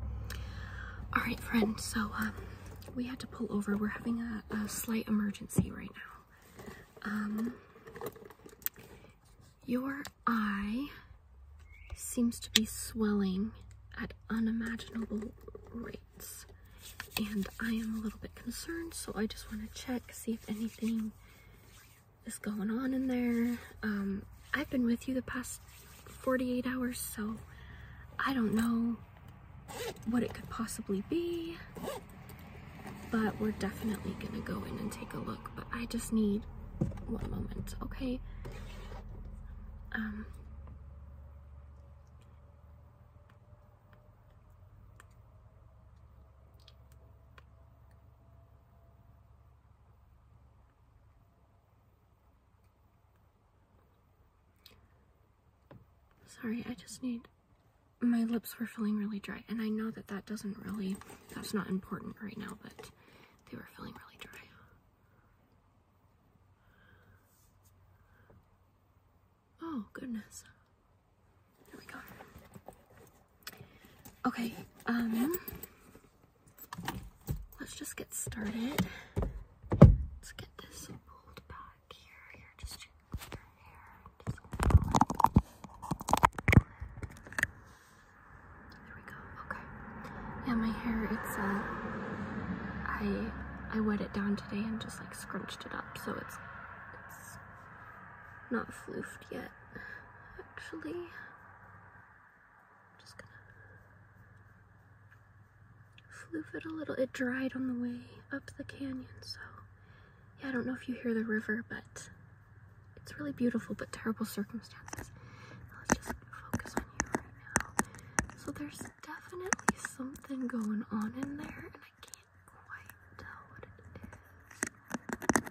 All right, friend. So um, we had to pull over. We're having a, slight emergency right now. Um, your eye seems to be swelling at unimaginable rates, and I am a little bit concerned. So I just want to check, see if anything is going on in there. Um, I've been with you the past 48 hours, so I don't know what it could possibly be, but we're definitely gonna go in and take a look, but I just need one moment, okay? Um, Sorry, I just need. My lips were feeling really dry, and I know that that doesn't really. That's not important right now, but they were feeling really dry. Oh, goodness. There we go. Okay, um let's just get started. Let's get this pulled back here. You're just gently your hair. there we go. Okay. Yeah, my hair. It's uh, I I wet it down today and just like scrunched it up, so it's it's not floofed yet. Actually, i just gonna floof it a little. It dried on the way up the canyon, so yeah, I don't know if you hear the river, but it's really beautiful, but terrible circumstances. let's just focus on you right now. So there's definitely something going on in there, and I can't quite tell what it is.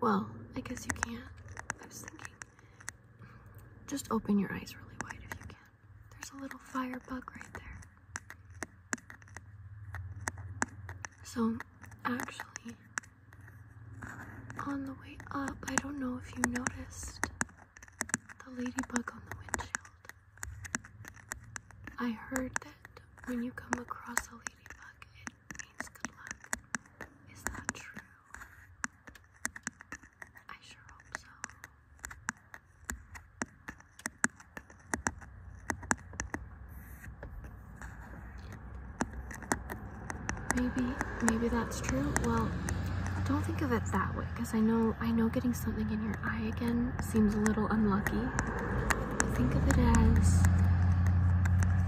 Well, I guess you can't. I was thinking. Just open your eyes really wide if you can. There's a little fire bug right there. So, actually, on the way up, I don't know if you noticed the ladybug on the windshield. I heard that when you come across a it means good luck. Is that true? I sure hope so. Maybe, maybe that's true. Well, don't think of it that way, because I know, I know, getting something in your eye again seems a little unlucky. Think of it as,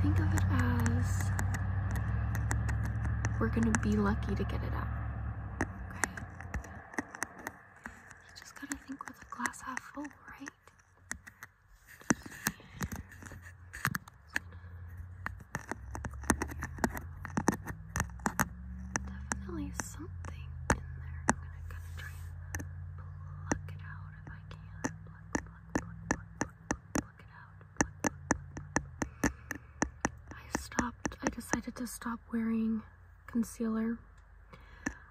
think of it as, we're gonna be lucky to get it out. Okay? You just gotta think with a glass half full, right? Definitely something in there. I stopped. I decided to stop wearing concealer.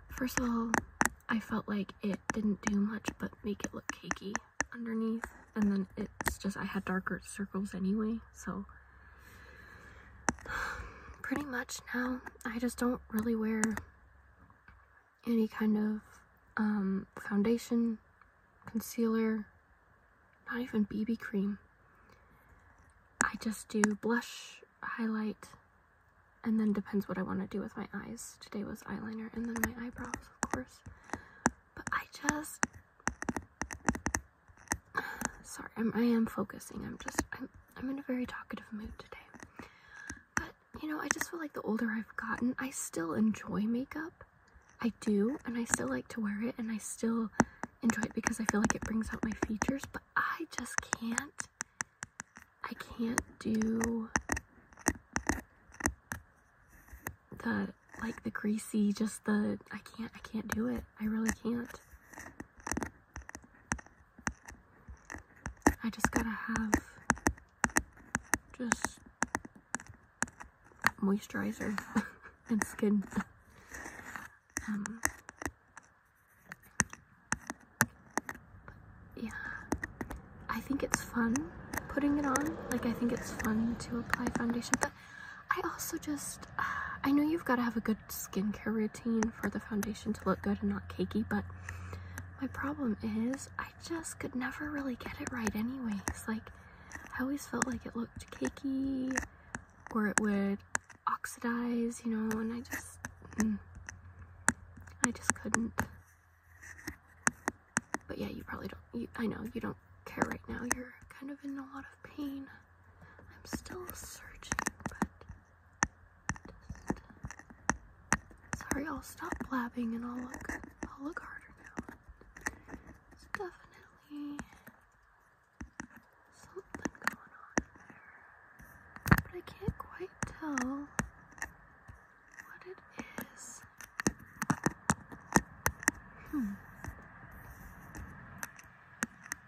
First of all, I felt like it didn't do much but make it look cakey underneath, and then it's just I had darker circles anyway, so pretty much now I just don't really wear any kind of um, foundation, concealer, not even BB cream. I just do blush, highlight, and then depends what I want to do with my eyes. Today was eyeliner and then my eyebrows, of course. But I just... Sorry, I'm, focusing. I'm just... I'm in a very talkative mood today. But, you know, I just feel like the older I've gotten, I still enjoy makeup. I do, and I still like to wear it, and I still enjoy it because I feel like it brings out my features, but I just can't. I can't do the like the greasy just the I can't I can't do it. I really can't. I just gotta have just moisturizer and skin. Um, yeah, I think it's fun putting it on. Like, I think it's fun to apply foundation, but I also just, I know you've got to have a good skincare routine for the foundation to look good and not cakey, but my problem is I just could never really get it right anyways. Like I always felt like it looked cakey or it would oxidize, you know, and I just mm, I just couldn't. But yeah, you probably don't I know you don't care right now. You're kind of in a lot of pain. I'm still searching, but Sorry, I'll stop blabbing and I'll look I'll look harder now. It's definitely something going on there. But I can't quite tell what it is. Hmm.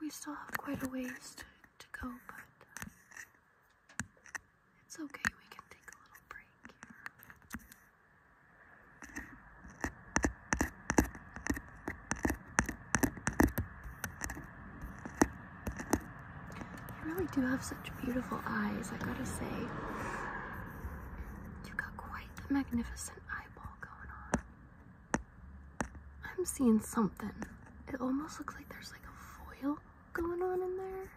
we still have quite a ways to, to go, but uh, it's okay, we can take a little break here. You really do have such beautiful eyes, I gotta say. You've got quite the magnificent eyeball going on. I'm seeing something. It almost looks like there's like a foil going on in there.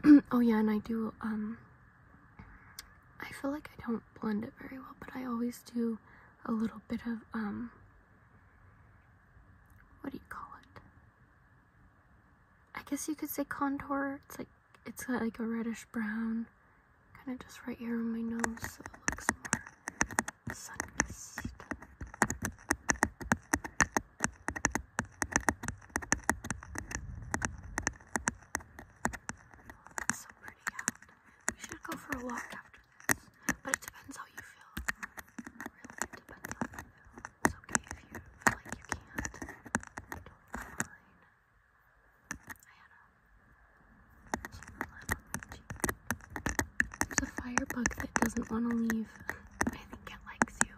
oh yeah, and I do um I feel like I don't blend it very well, but I always do a little bit of, um, what do you call it? I guess you could say contour. It's like, it's got like a reddish brown, kind of just right here on my nose, so it looks more it's so pretty out. We should go for a walk after this. But it depends how you feel. It really depends how you feel. It's okay if you feel like you can't. Don't mind. I had a There's a firebug that doesn't want to leave. I think it likes you.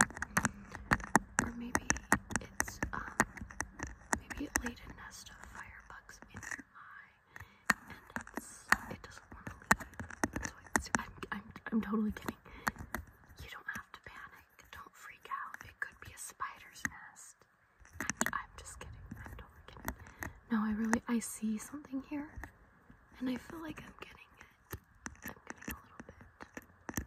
Or maybe it's um, Maybe it laid a nest of firebugs in her eye, and it doesn't want to leave. So I'm, I'm, I'm totally kidding. You don't have to panic. Don't freak out. It could be a spider's nest. I'm just kidding. I'm totally kidding. No, I really, I see something here, and I feel like I'm getting it. I'm getting a little bit.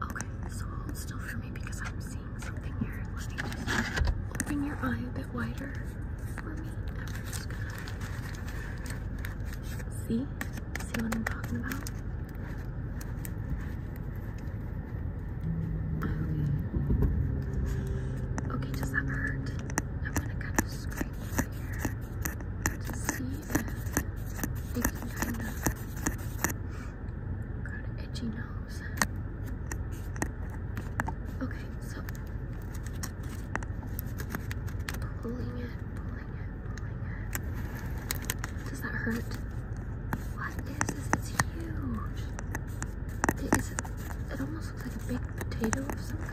Okay, so hold still for me because I'm seeing something here. Let me just open your eye a bit wider for me. see, see what I'm talking about. Okay. does that hurt? I'm gonna kind of scrape right here to see. Sticky fingers. Got an itchy nose. Okay, so pulling it, pulling it, pulling it. Does that hurt? What is this? It's huge. It is. It almost looks like a baked potato of some kind.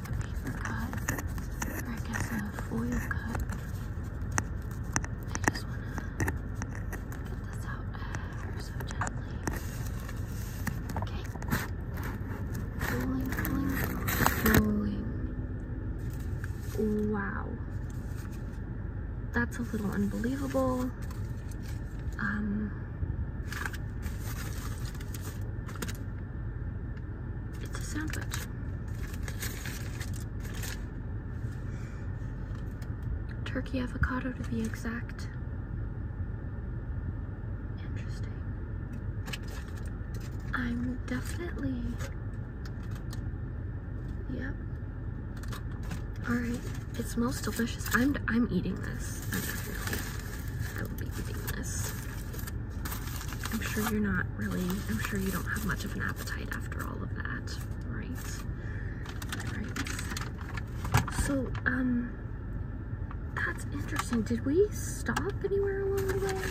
a paper cut, or I guess a foil cut. I just want to get this out uh, so gently. Okay. Pulling, pulling, pulling. Wow. That's a little unbelievable. Um, it's a sandwich. Turkey avocado to be exact. Interesting. I'm definitely. Yep. All right. It smells delicious. I'm I'm eating this. I definitely. I will be eating this. I'm sure you're not really, I'm sure you don't have much of an appetite after all of that, right? Right. So, um, that's interesting. Did we stop anywhere along the way?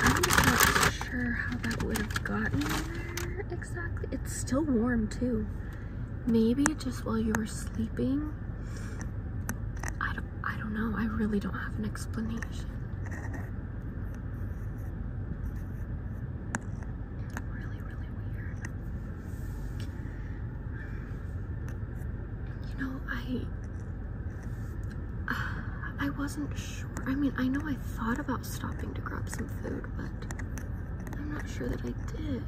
I'm not sure how that would have gotten there exactly. It's still warm too maybe just while you were sleeping I don't, I don't know I really don't have an explanation you know I I wasn't sure I mean I know I thought about stopping to grab some food but I'm not sure that I did.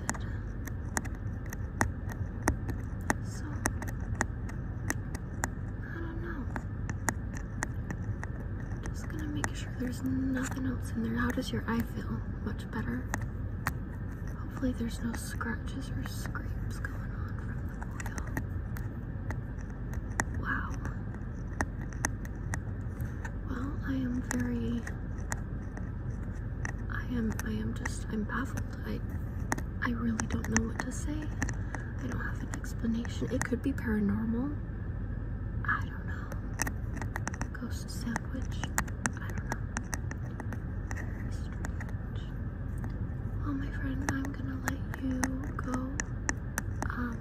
So, I don't know. Just gonna make sure there's nothing else in there. How does your eye feel? Much better? Hopefully, there's no scratches or scrapes going on from the oil. Wow. Well, I am very I am I am just I'm baffled. I I really don't know what to say. I don't have an explanation. It could be paranormal. I don't know. Ghost sandwich. I don't know. Well my friend, I'm gonna let you go. Um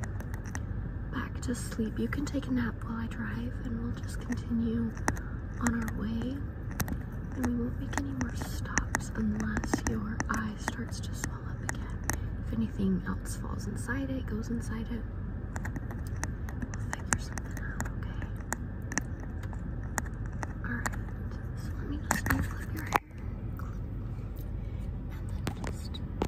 back to sleep. You can take a nap while I drive, and we'll just continue on our way. And we won't make any more stops unless your eye starts to swell up again. If anything else falls inside it, goes inside it, we'll figure something out, okay? Alright, so let me just unclip your hair. And then just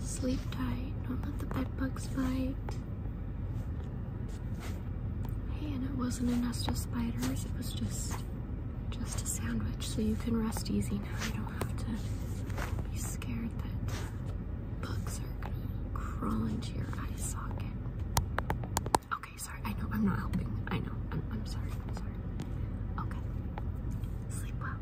Sleep tight. Don't let the bed bugs bite. Hey, and it wasn't a nest of spiders. It was just just a sandwich, so you can rest easy now. You don't have to be scared that bugs are gonna crawl into your eye socket. Okay, sorry. I know I'm not helping. I know. I'm, sorry. I'm sorry. Okay. Sleep well.